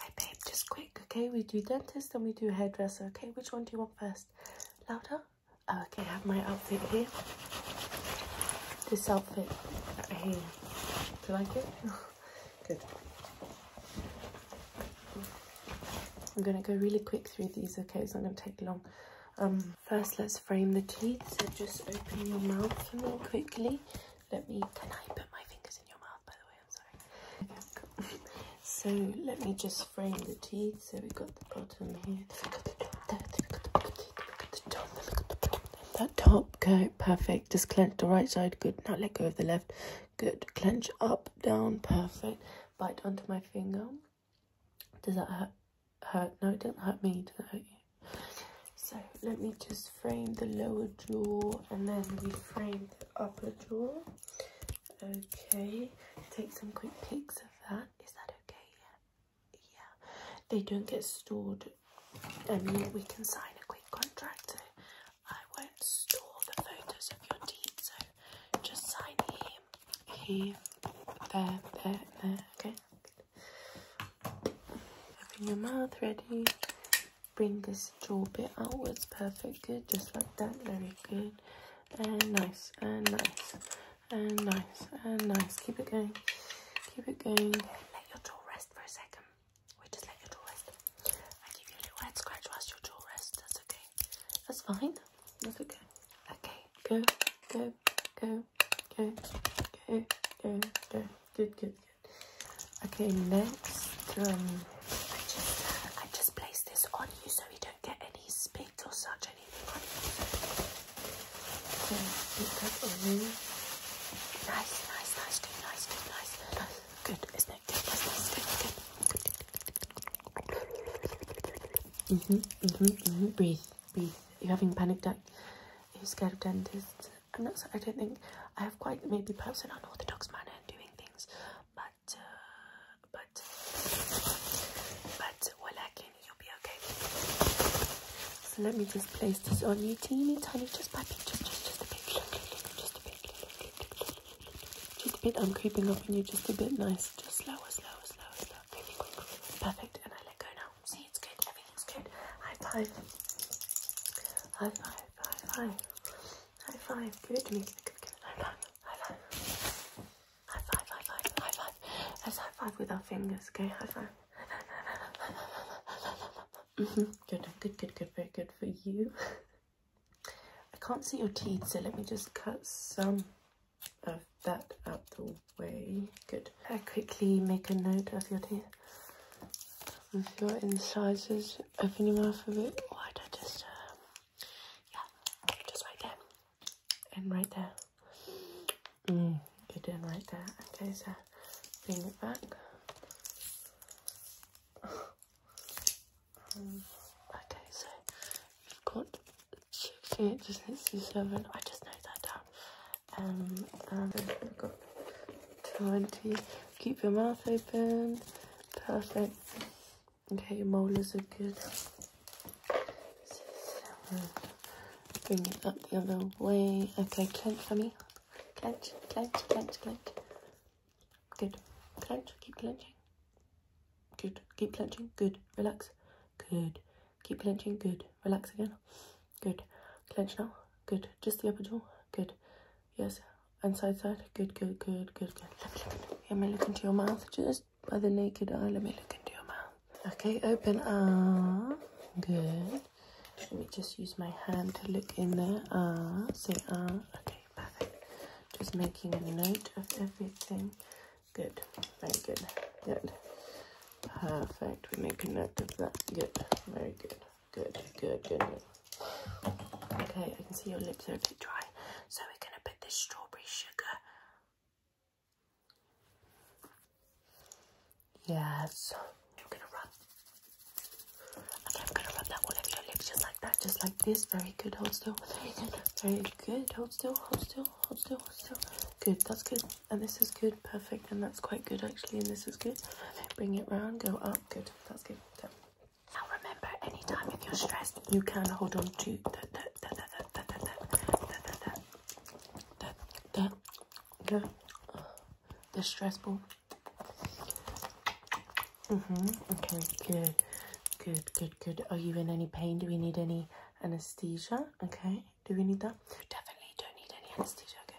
Hey babe, just quick, okay? We do dentist and we do hairdresser, okay? Which one do you want first? Louder? okay, I have my outfit here. This outfit here. Do you like it? Good. I'm gonna go really quick through these, okay? It's not gonna take long. Um, first, let's frame the teeth. So just open your mouth for me quickly. Let me. Can I put my fingers in your mouth, by the way? So let me just frame the teeth. So we've got the bottom here, that top. Okay, perfect. Just clench the right side. Good. Now let go of the left. Good. Clench up, down. Perfect. Bite onto my finger. Does that hurt? hurt? No, it doesn't hurt me. Does it hurt you? So let me just frame the lower jaw and then we frame upper jaw. Okay, take some quick pics of that. Is that okay? Yeah. yeah. They don't get stored. I we can sign a quick contract. So I won't store the photos of your teeth. So just sign here, here, there, there, there. Okay. Good. your mouth. Ready bring this jaw bit outwards perfect good just like that very good and nice and nice and nice and nice keep it going keep it going let your jaw rest for a second we just let your jaw rest i give you a little head scratch whilst your jaw rests that's okay that's fine that's okay okay go go go go go go good good Okay, next, um, I just, I just place this on you so you don't get any spit or such anything on you. put on you. Nice, nice, nice, good, nice, good, nice, Good, isn't it? Good, nice, good, good. Mm-hmm, mm-hmm, mm-hmm. Breathe, breathe. Are you having panic attack? Are you scared of dentists? I'm not. I don't think I have quite maybe perhaps an unorthodox manner in doing things, but uh, but but well, again, you'll be okay. So let me just place this on you, teeny tiny, just by bit, just just just a bit, just a bit, just a bit. I'm creeping up on you, just a bit. Nice, just slower, slower, slower, slower. Really quick, perfect. And I let go now. See, it's good. Everything's good. High five. High five five, high five, high five. Give it to me. Give it, give it, high five, high five, high five, high five, high five. Let's high five with our fingers, okay? High five. Mm-hmm. Good, good, good, good, very good for you. I can't see your teeth, so let me just cut some of that out the way. Good. I quickly make a note of your teeth with your incisors, open your mouth a bit wider, just, um, yeah, just right there, and right there, mm, good, and right there, okay, so bring it back, um, okay, so you've got cheek, it just needs to seven, I just know that down, um, um, I've got 20, Keep your mouth open. Perfect. Okay, your molars are good. Bring it up the other way. Okay, clench for me. Clench, clench, clench, clench. Good. Clench, keep clenching. Good. Keep clenching. Good. Relax. Good. Keep clenching. Good. Relax again. Good. Clench now. Good. Just the upper jaw. Good. Yes. And side side. Good, good, good, good, good. Let me look into your mouth. Just by the naked eye. Let me look into your mouth. Okay, open up. Good. Let me just use my hand to look in there. Ah, say ah. Okay, perfect. Just making a note of everything. Good. Very good. Good. Perfect. We make a note of that. Good. Very good. Good, good, good, Okay, I can see your lips are a bit dry. So we're going to put this strawberry sugar. Yes. You're going to rub. Okay, I'm going to rub that all over your lips just like that. Just like this. Very good. Hold still. Very good. Very good. Hold still. Hold still. Hold still. Hold still. Good. That's good. And this is good perfect, and that's quite good actually, and this is good. Bring it round, go up, good, that's good. Now remember, anytime if you're stressed, you can hold on to that, that, that, that, that, that, that, that, that, the stress ball. Mm-hmm, okay, good, good, good, good. Are you in any pain? Do we need any anesthesia? Okay, do we need that? Definitely don't need any anesthesia, okay?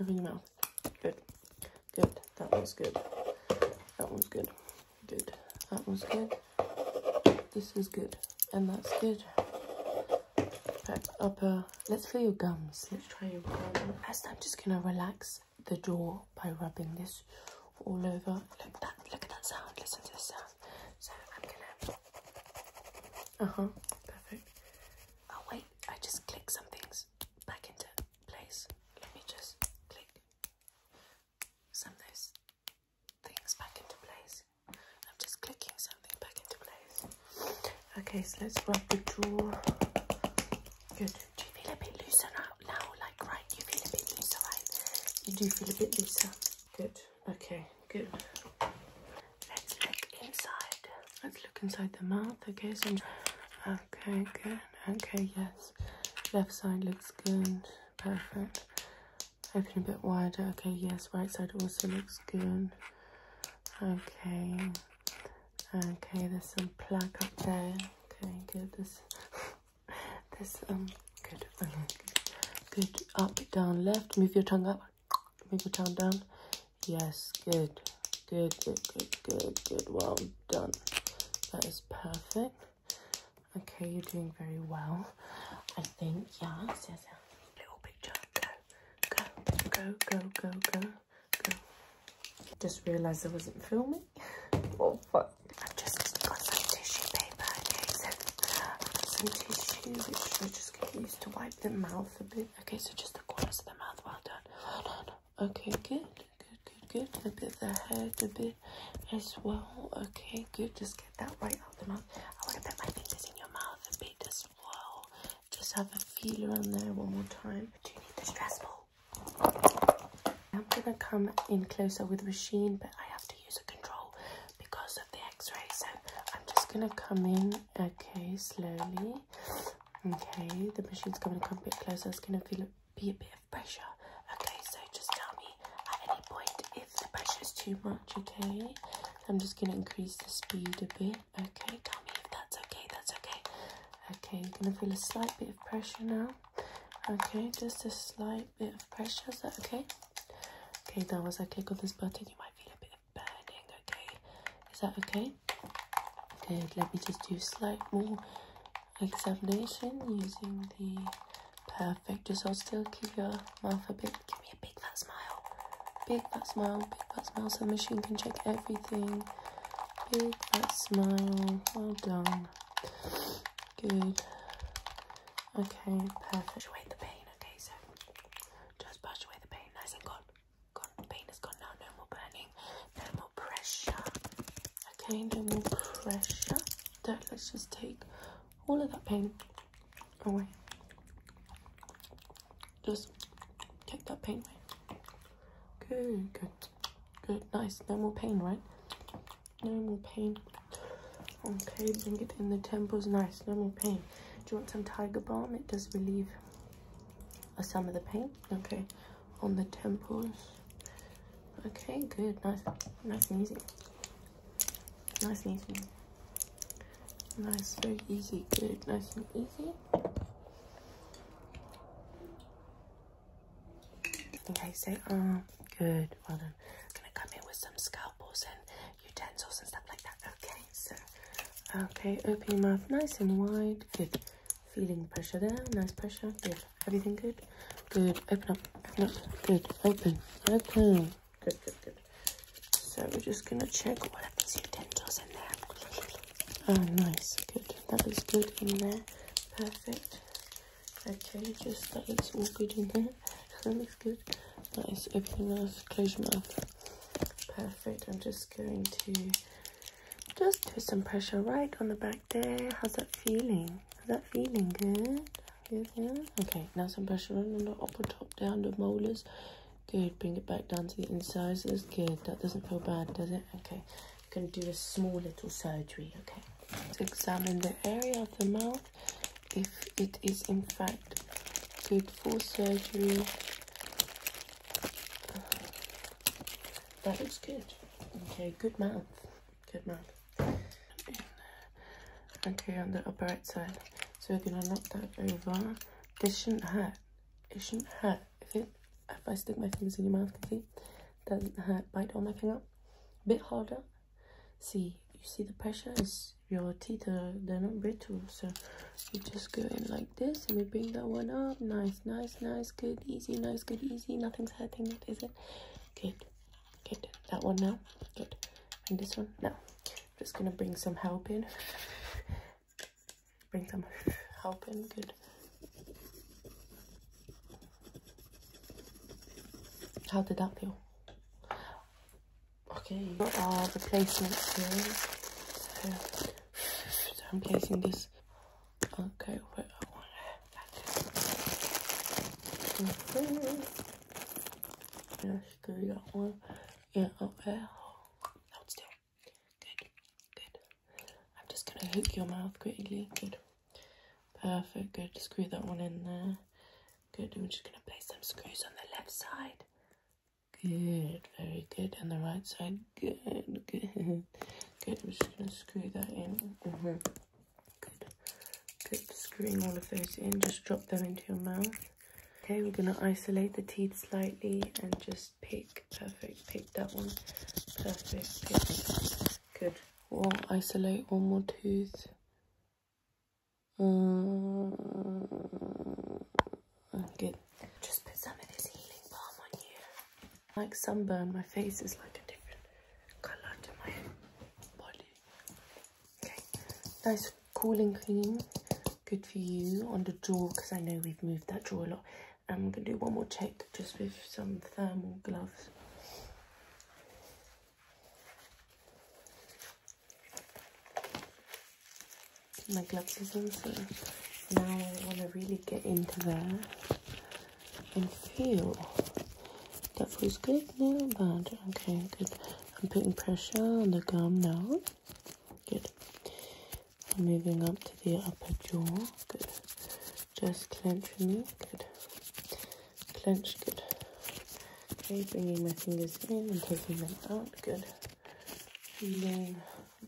Over your mouth. Good. Good. That one's good. That one's good. Good. That one's good. This is good. And that's good. Back upper. Uh, let's feel your gums. Let's try your gums. First, I'm just going to relax the jaw by rubbing this all over. Look at that. Look at that sound. Listen to the sound. Uh-huh. Perfect. Oh, wait. I just clicked some things back into place. Let me just click some of those things back into place. I'm just clicking something back into place. Okay, so let's grab the drawer. Good. Do you feel a bit looser now? Now, like right, you feel a bit looser, right? You do feel a bit looser. Good. Okay, good. Let's look inside. Let's look inside the mouth. Okay, so okay, good. Okay, yes. Left side looks good. Perfect. Open a bit wider. Okay, yes. Right side also looks good. Okay. Okay, there's some plaque up there. Okay, good. This, this, um, good. Okay, Good. Up, down, left. Move your tongue up. Move your tongue down. Yes, good, good, good, good, good, good. Well done. That is perfect. Okay, you're doing very well. I think, yes, yes, yes. Little picture. Go, go, go, go, go, go, go. Just realised I wasn't filming. Oh, fuck. i just got some tissue paper. Okay, so I've got some tissue, which we just going to to wipe the mouth a bit. Okay, so just the corners of the mouth. Well done. Well done. Okay, good. Good, good, good. A bit the head, a bit as well. Okay, good. Just get that right out the mouth. I want to put my fingers in your mouth and beat as well. Just have a feel around there one more time. Do you need the stress more? I'm gonna come in closer with machine, but I have to use a control because of the x-ray. So I'm just gonna come in, okay, slowly. Okay, the machine's going to come a bit closer. It's going to feel be a bit of pressure. Okay, so just tell me at any point if the pressure is too much. Okay, I'm just going to increase the speed a bit. Okay, tell me if that's okay. That's okay. Okay, you're going to feel a slight bit of pressure now. Okay, just a slight bit of pressure. Is that okay? Okay, that was click Got this button. You might feel a bit burning, okay? Is that okay? Good, let me just do slight more examination using the perfect. Just hold still, keep your mouth a bit, give me a big fat smile. Big fat smile, big fat smile, so machine can check everything. Big fat smile, well done. Good. Okay, perfect. Brush away the pain, okay? So just brush away the pain, nice and good gone, pain is gone now, no more burning, no more pressure. Okay, no more pressure. let's just take all of that pain away. Just take that pain away. Good, good, good, nice. No more pain, right? No more pain. Okay, bring it in the temples, nice, no more pain. Do you want some tiger balm? It does relieve some of the paint. Okay, on the temples. Okay, good. Nice, nice and easy. Nice and easy. Nice, very easy. Good, nice and easy. Okay, say so, ah, good. Well done. I'm gonna come in with some scalpels and utensils and stuff like that. Okay. Okay, so okay, open your mouth nice and wide. Good. Feeling pressure there. Nice pressure. Good. Everything good? Good. Open up. Open up. Good. Open. Open. Good, good, good. So we're just gonna check what of to utensils in there. Oh nice, good. That looks good in there. Perfect. Okay, just that looks all good in there. That looks good. Nice. Open your mouth, close your mouth. Perfect. I'm just going to just do some pressure right on the back there. How's that feeling? How's that feeling? Good. Good. Okay. Now some pressure on the upper top, down the molars. Good. Bring it back down to the incisors. Good. That doesn't feel bad, does it? Okay. I'm going to do a small little surgery. Okay. examine the area of the mouth if it is in fact good for surgery that looks good. Okay, good mouth. Good mouth. Okay, on the upper right side. So we're gonna knock that over. This shouldn't hurt. It shouldn't hurt. If I stick my fingers in your mouth, can see? Doesn't hurt. Bite on my finger. A bit harder. See, you see the pressure is your teeth are they're not brittle so you just go in like this and we bring that one up nice nice nice good easy nice good easy nothing's hurting it is it good good that one now good and this one now just gonna bring some help in bring some help in good how did that feel Okay, what are uh, the placements here? So, I'm placing this. Okay, wait, I want to okay. And I screw that one. Yeah, up there. Hold still. Good, good. I'm just gonna hook your mouth quickly. Good. Perfect, good. Screw that one in there. Good, I'm just gonna place some screws on the left side. Good, very good. and the right side, good, good, good. I'm just gonna screw that in. Mm Good, good. Screwing all of those in, just drop them into your mouth. Okay, we're gonna isolate the teeth slightly and just pick. Perfect, pick that one. Perfect, pick. Good. We'll isolate one more tooth. Mm, good. Just put some of this healing balm on you. Like sunburn, my face is like a different colour to my body. Okay, nice cooling cream. Good for you on the jaw because I know we've moved that jaw a lot. And I'm going to do one more check just with some thermal gloves my gloves is on so now I want to really get into there and feel that feels good now bad okay good I'm putting pressure on the gum now good I'm moving up to the upper jaw good just clench for me good clench good okay bringing my fingers in and taking them out good feeling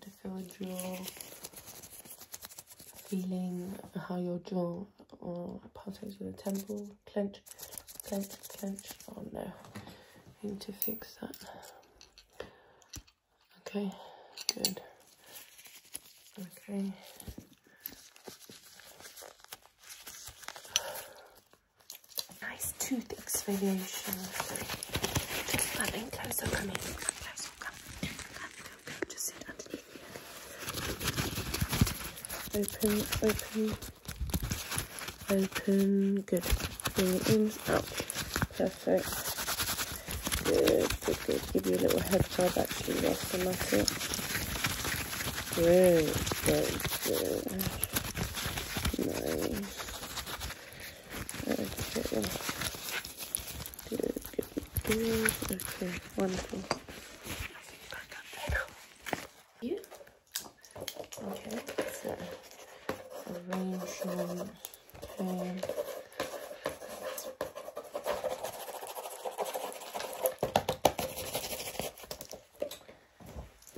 to feel jaw, feeling how your jaw or palpitates with the temple, clench, clench, clench. Oh no, need to fix that. Okay, good. Okay. Nice tooth exfoliation. Just come in closer, come in. Come closer, come. Just sit underneath Open, open, open. Good. Bring it in, Perfect. Good, good, Give you a little head rub actually whilst I'm at Good, good, good. Nice. Okay. Good, good, good. Okay, wonderful. You? Okay, so arrangement and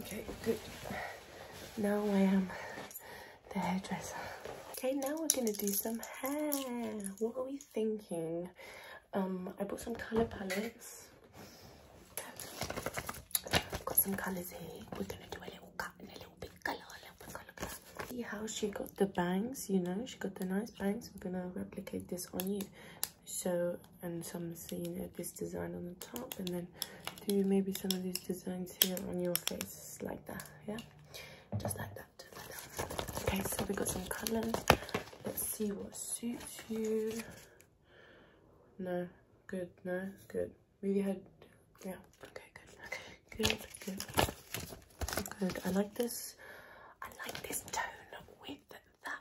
Okay, good. Now I am the hairdresser. Okay, now we're gonna do some hair. What are we thinking? Um, I bought some color palettes. got some colors here. We're gonna do a little cut and a little bit color, color. See how she got the bangs, you know? She got the nice bangs. We're gonna replicate this on you. So and some scene at this design on the top and then do maybe some of these designs here on your face like that yeah just like that, just that. okay so we got some colors let's see what suits you no good no good we had yeah okay good okay good good good i like this i like this tone with that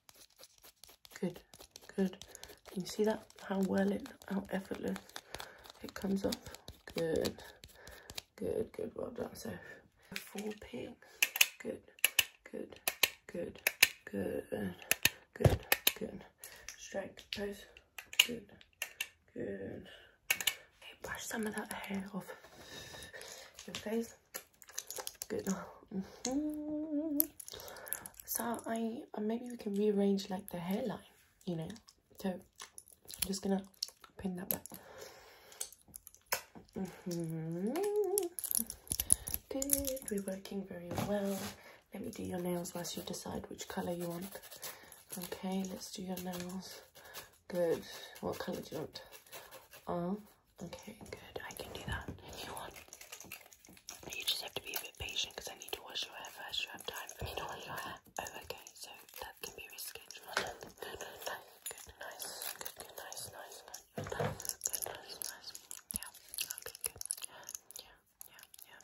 Good, good. Can you see that? How well it, how effortless it comes off. Good, good, good. Well done, So Four pings. Good, good, good, good, good, good. Strike pose. Good, good. Okay, brush some of that hair off your face. Good. Mm-hmm. So I uh, maybe we can rearrange like the hairline, you know. So I'm just gonna pin that back. Mm -hmm. Good. We're working very well. Let me do your nails whilst you decide which color you want. Okay, let's do your nails. Good. What color do you want? Uh, Okay, good. I can do that if you want. You just have to be a bit patient because I need to wash your hair first. You have time for me to your hair. Oh, okay. So that can be rescheduled. Good, good, good, nice, good, good, nice, nice, nice, nice, nice. Yeah. Okay, good. Yeah, yeah, yeah,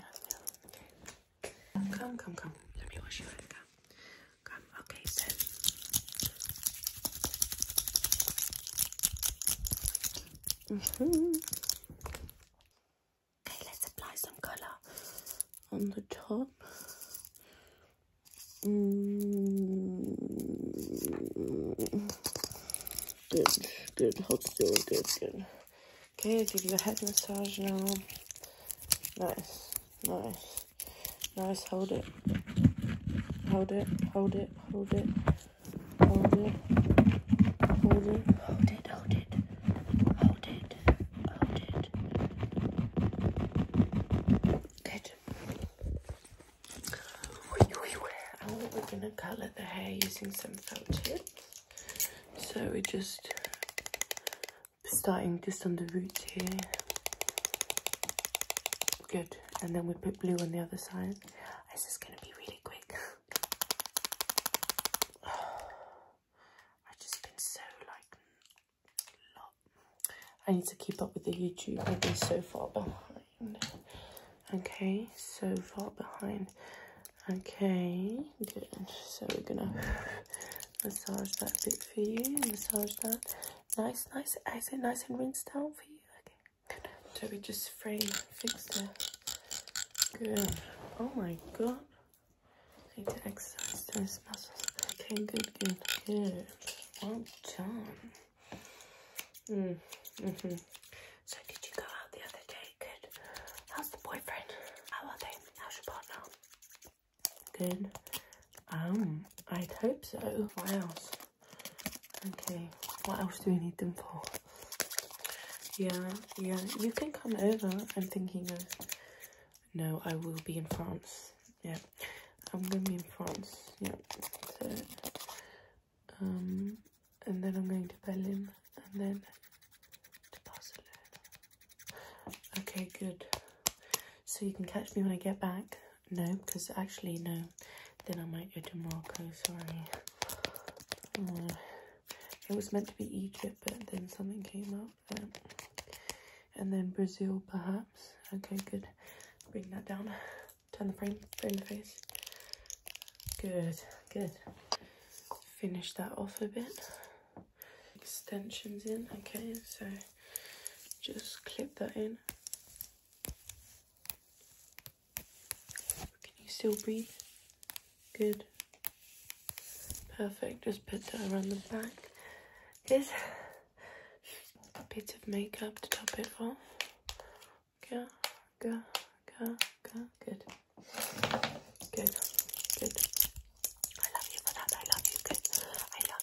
yeah, yeah, Okay. Come, come, come. Let me wash your hair. come, okay, so mm-hmm. okay, let's apply some color on the top. Mm. Good, good, hold still, good, good. Okay, I'll give you a head massage now. Nice, nice. Nice, hold it. Hold it, hold it, hold it, hold it, hold it, hold it, hold it, hold it, hold it. Good. And what we're gonna colour the hair using some felt tips. So we're just starting just on the roots here. Good and then we put blue on the other side. This is going to be really quick. I've just been so like, I need to keep up with the YouTube. I've been so far behind. Okay, so far behind. Okay, good. So we're gonna massage that bit for you, massage that. Nice, nice. I it nice and rinse down for you? Okay. So we just frame fix it. good. Oh my god. I exercise those muscles. Okay, good, good, good. Well done. Mm. hmm So did you go out the other day? Good. How's the boyfriend? How are they? How's your partner? Good. Um, I'd hope so. What else? Okay, what else do we need them for? Yeah, yeah, you can come over. I'm thinking of... No, I will be in France. Yeah, I'm going to be in France. Yeah, so... Um, and then I'm going to Berlin. And then to Barcelona. Okay, good. So you can catch me when I get back. No, because actually, no. Then I might go to Morocco, sorry. Uh, it was meant to be Egypt, but then something came up. Um, and then Brazil, perhaps. Okay, good. Bring that down. Turn the frame, frame the face. Good, good. Finish that off a bit. Extensions in, okay, so just clip that in. Can you still breathe? Good. Perfect. Just put that around the back. Here's a bit of makeup to top it off. Go, go, go, go. Good. Good. Good. I love you for that. I love you. Good. I love